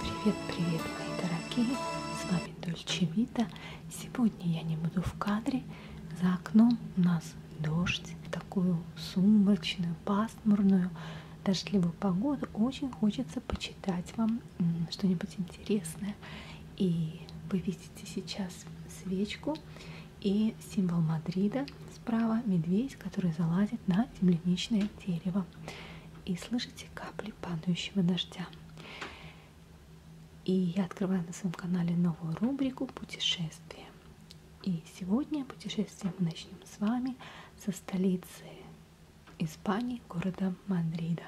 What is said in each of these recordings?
Привет-привет, мои дорогие! С вами Дольче Вита. Сегодня я не буду в кадре. За окном у нас дождь, такую сумрачную, пасмурную, дождливую погоду. Очень хочется почитать вам что-нибудь интересное. И вы видите сейчас свечку. И символ Мадрида справа медведь, который залазит на земляничное дерево. И слышите капли падающего дождя. И я открываю на своем канале новую рубрику «Путешествия». И сегодня путешествие мы начнем с вами со столицы Испании, города Мадрида.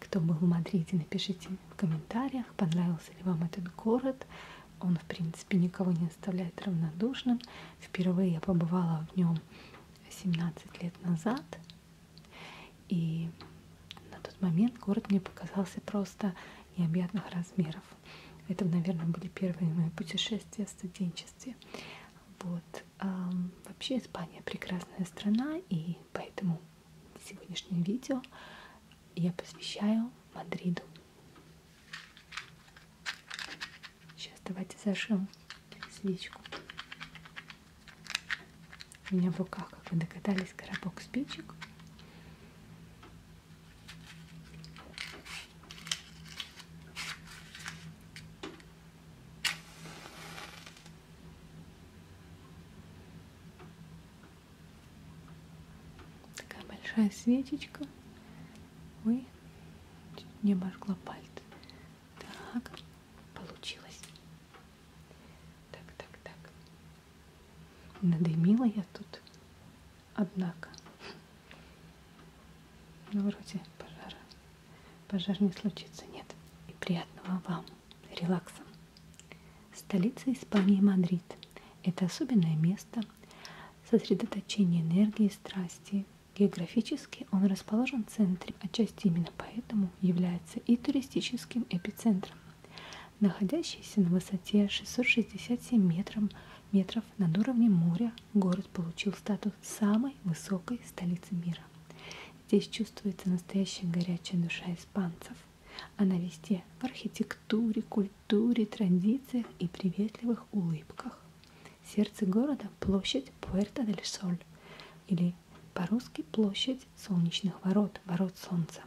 Кто был в Мадриде, напишите в комментариях, понравился ли вам этот город. Он, в принципе, никого не оставляет равнодушным. Впервые я побывала в нем 17 лет назад. И на тот момент город мне показался просто необъятных размеров. Это, наверное, были первые мои путешествия в студенчестве. Вот. А, вообще Испания прекрасная страна, и поэтому сегодняшнее видео я посвящаю Мадриду. Сейчас давайте зашим свечку. У меня в руках, как вы догадались, коробок спичек. Такая большая свечечка. Ой, чуть не обожгла пальцы. Так, получилось. Так, так, так. Надымила я тут, однако. Ну, вроде пожара. Пожар не случится, нет. И приятного вам релакса. Столица Испании Мадрид – это особенное место, сосредоточение энергии и страсти. Географически он расположен в центре, отчасти именно поэтому является и туристическим эпицентром. Находящийся на высоте 667 метров, метров над уровнем моря, город получил статус самой высокой столицы мира. Здесь чувствуется настоящая горячая душа испанцев. Она а везде в архитектуре, культуре, традициях и приветливых улыбках. Сердце города – площадь Пуэрто-дель-Соль, или по-русски площадь солнечных ворот, ворот солнца.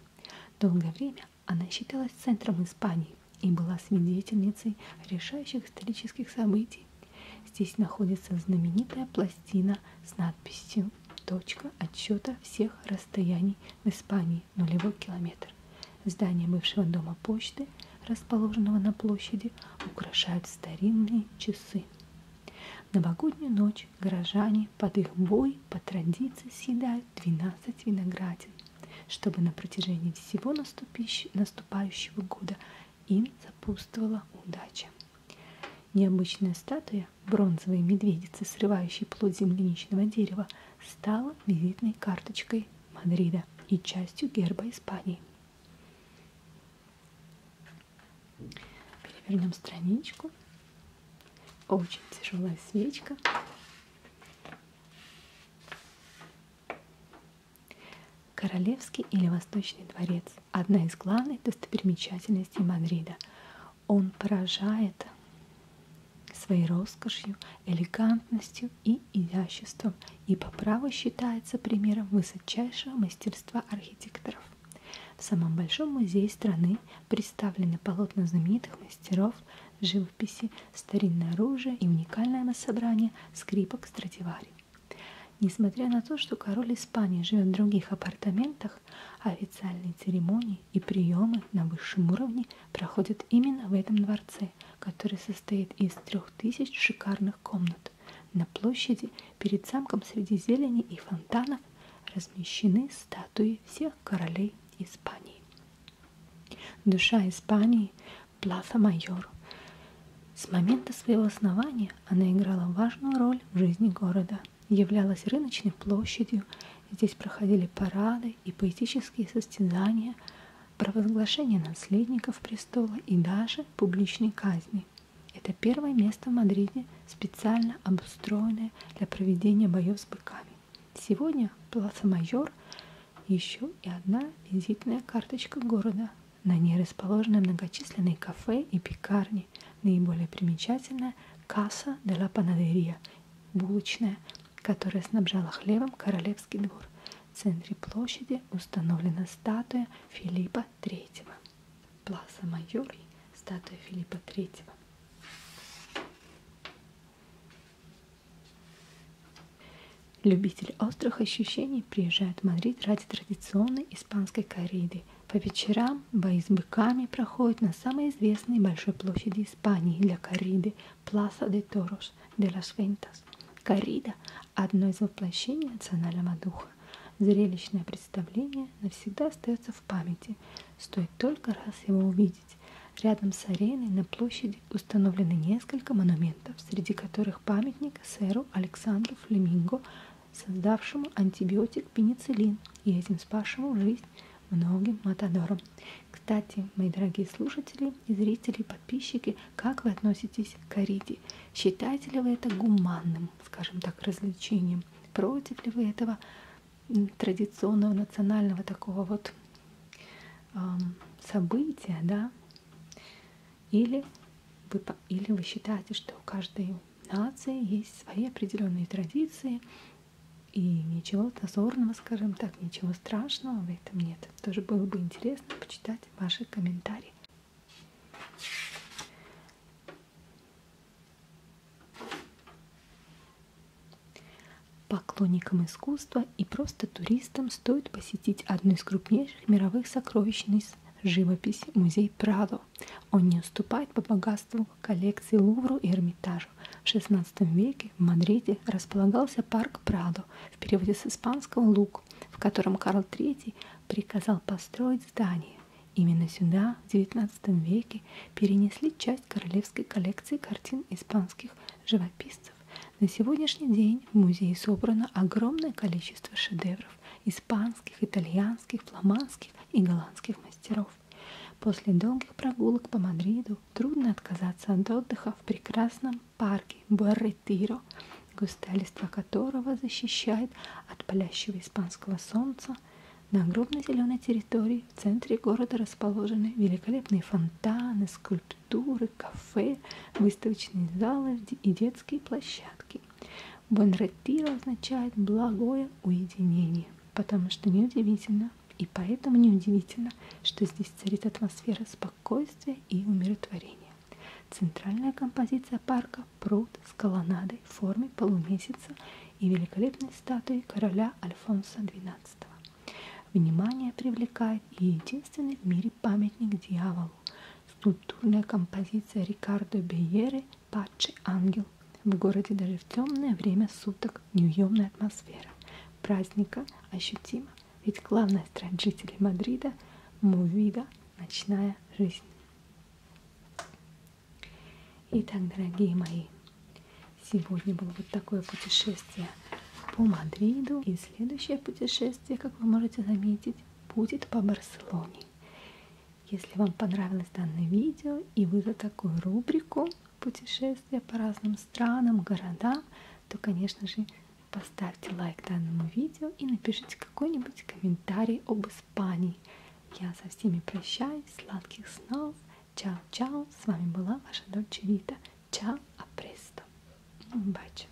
Долгое время она считалась центром Испании и была свидетельницей решающих исторических событий. Здесь находится знаменитая пластина с надписью Точка отсчета всех расстояний в Испании – нулевой километр. Здание бывшего дома почты, расположенного на площади, украшают старинные часы. В новогоднюю ночь горожане под их бой по традиции съедают 12 виноградин, чтобы на протяжении всего наступающего года им сопутствовала удача. Необычная статуя Крупная бронзовая медведица, срывающая плод земляничного дерева, стала визитной карточкой Мадрида и частью герба Испании. Перевернем страничку. Очень тяжелая свечка. Королевский или Восточный дворец – одна из главных достопримечательностей Мадрида. Он поражает своей роскошью, элегантностью и изяществом и по праву считается примером высочайшего мастерства архитекторов. В самом большом музее страны представлены полотна знаменитых мастеров живописи, старинное оружие и уникальное собрание скрипок Страдивари. Несмотря на то, что король Испании живет в других апартаментах, странах. Официальные церемонии и приемы на высшем уровне проходят именно в этом дворце, который состоит из трех тысяч шикарных комнат. На площади перед замком среди зелени и фонтанов размещены статуи всех королей Испании. Душа Испании – Пласа Майор. С момента своего основания она играла важную роль в жизни города являлась рыночной площадью, здесь проходили парады и поэтические состязания, провозглашение наследников престола и даже публичные казни. Это первое место в Мадриде, специально обустроенное для проведения боев с быками. Сегодня Пласа Майор еще и одна визитная карточка города. На ней расположены многочисленные кафе и пекарни – Наиболее примечательная касса де ла Панадерия, булочная, которая снабжала хлебом королевский двор. В центре площади установлена статуя Филиппа III. Пласа Майори, статуя Филиппа III. Любители острых ощущений приезжают в Мадрид ради традиционной испанской кориды. По вечерам бои с быками проходят на самой известной большой площади Испании для корриды Plaza de Toros de las Ventas. Коррида – одно из воплощений национального духа. Зрелищное представление навсегда остается в памяти. Стоит только раз его увидеть. Рядом с ареной на площади установлены несколько монументов, среди которых памятник сэру Александру Флеминго создавшему антибиотик пенициллин и этим спасшему жизнь многим матадорам. Кстати, мои дорогие слушатели и зрители, и подписчики, как вы относитесь к кориде? Считаете ли вы это гуманным, скажем так, развлечением? Против ли вы этого традиционного национального такого вот эм, события, да? Или вы, или вы считаете, что у каждой нации есть свои определенные традиции, и ничего зазорного, скажем так, ничего страшного в этом нет. Тоже было бы интересно почитать ваши комментарии. Поклонникам искусства и просто туристам стоит посетить одну из крупнейших мировых сокровищниц Парис, живопись, музей Прадо. Он не уступает по богатству коллекции Лувру и Эрмитажу. В XVI веке в Мадриде располагался парк Прадо, в переводе с испанского «лук», в котором Карл III приказал построить здание. Именно сюда в XIX веке перенесли часть королевской коллекции картин испанских живописцев. На сегодняшний день в музее собрано огромное количество шедевров из испанских, итальянских, фламандских и голландских мастеров. После долгих прогулок по Мадриду трудно отказаться от отдыха в прекрасном парке Барретиро, густалиство которого защищает от палящего испанского солнца. На огромной зеленой территории в центре города расположены великолепные фонтаны, скульптуры, кафе, выставочные залы и детские площадки. Бонретти. Бонреттира означает благое уединение, потому что неудивительно, и поэтому неудивительно, что здесь царит атмосфера спокойствия и умиротворения. Центральная композиция парка – пруд с колоннадой в форме полумесяца и великолепной статуей короля Альфонса XII. Внимание привлекает и единственный в мире памятник дьяволу Скульптурная композиция Рикардо Бейеры «Патчи ангел». В городе даже в темное время суток неуемная атмосфера. Праздника ощутима, ведь главная страсть жителей Мадрида – Мувида, ночная жизнь. Итак, дорогие мои, сегодня было вот такое путешествие по Мадриду. И следующее путешествие, как вы можете заметить, будет по Барселоне. Если вам понравилось данное видео и вы за такую рубрику путешествия по разным странам, городам, то, конечно же, поставьте лайк данному видео и напишите какой-нибудь комментарий об Испании. Я со всеми прощаюсь, сладких снов, чао-чао, с вами была ваша дочь Вита, чао, апресто, бачу.